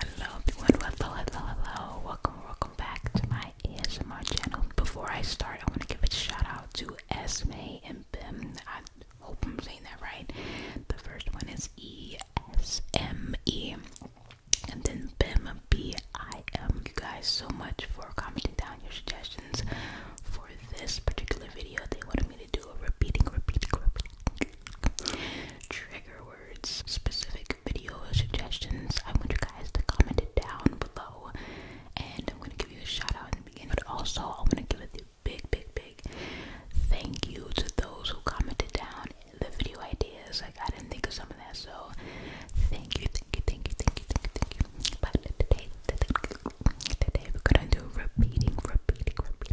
Hello everyone, hello, hello, hello. Welcome, welcome back to my ASMR channel. Before I start, I want to give a shout out to Esme and Bim. I hope I'm saying that right. The first one is E S M E, and then Bim B I M. You guys, so much for commenting down your suggestions for this particular video. They wanted me to do a repeating, repeating, repeating trigger words, specific video suggestions. I want you guys to comment it down below, and I'm gonna give you a shout out in the beginning. But also, I want to give it a big, big, big thank you to those who commented down the video ideas. Like I didn't think of some of that, so thank you, thank you, thank you, thank you, thank you, thank you. But today, today, today we're gonna do repeating, repeating, repeating.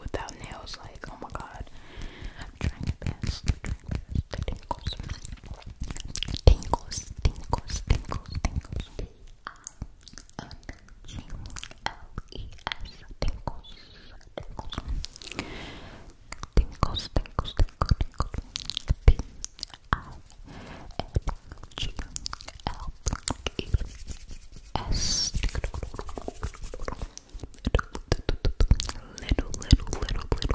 without nails. Like, oh my god, I'm trying my best. I'm trying my best. The tingles, tingles, tingles, tingles, tingles. T I N G L E S, tingles, tingles, tingles, tingles, tingles, tingles. T I N G L E S. S. Little, little, little, little,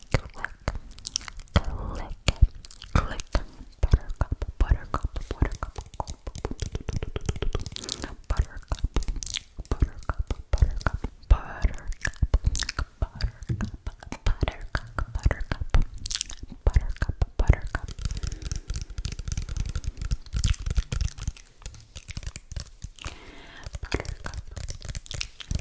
click, click, click, buttercup, buttercup, buttercup, buttercup, buttercup, buttercup, buttercup, buttercup, buttercup, buttercup, buttercup, buttercup, buttercup. Buttercup,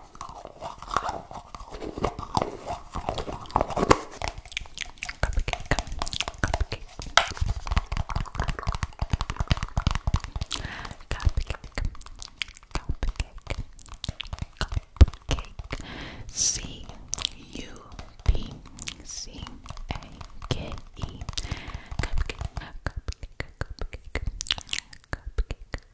Cupcake, cupcake, cupcake, cupcake, cupcake, C U P C A K E, cupcake, cupcake, cupcake, cupcake, cupcake,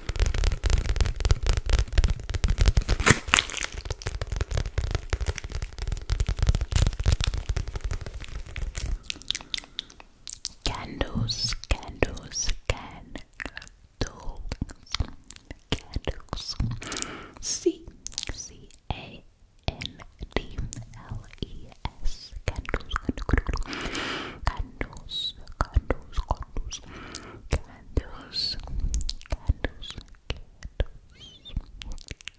Candles, candles, candles, candles. C C A N D L E S candles, candles, candles, candles, candles, candles, candles, candles,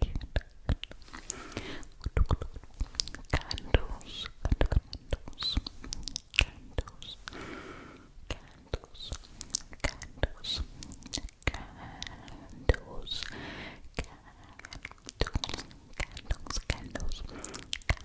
candles, candles, candles, candles, candles, candles, candles, candles, candles, candles, candles,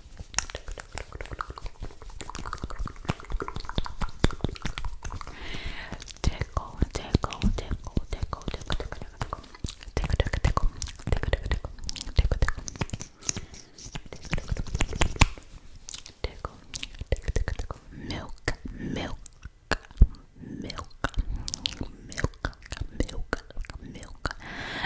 Tickle, tickle, tickle, tickle, tickle, tickle, tickle, tickle, tickle, tickle, tickle, tickle, tickle, tickle, tickle, tickle, tickle, milk, milk, milk, milk, milk, milk,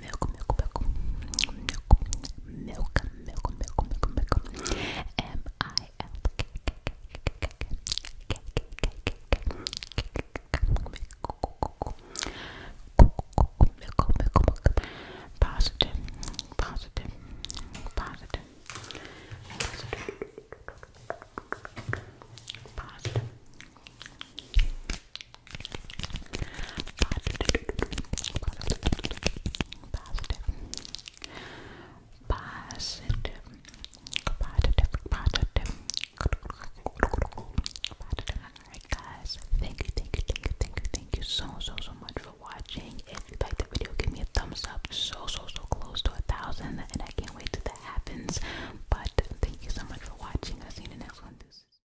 milk, milk, milk, milk, milk, milk, milk, milk, milk, M I L K Positive, positive, positive, positive, positive, positive, positive, positive, Alright guys, thank you, thank you, thank you, thank you, thank you so so so much for watching. If you like the video, give me a thumbs up. So so so close to a thousand and I can't wait till that happens. But thank you so much for watching. I'll see you in the next one.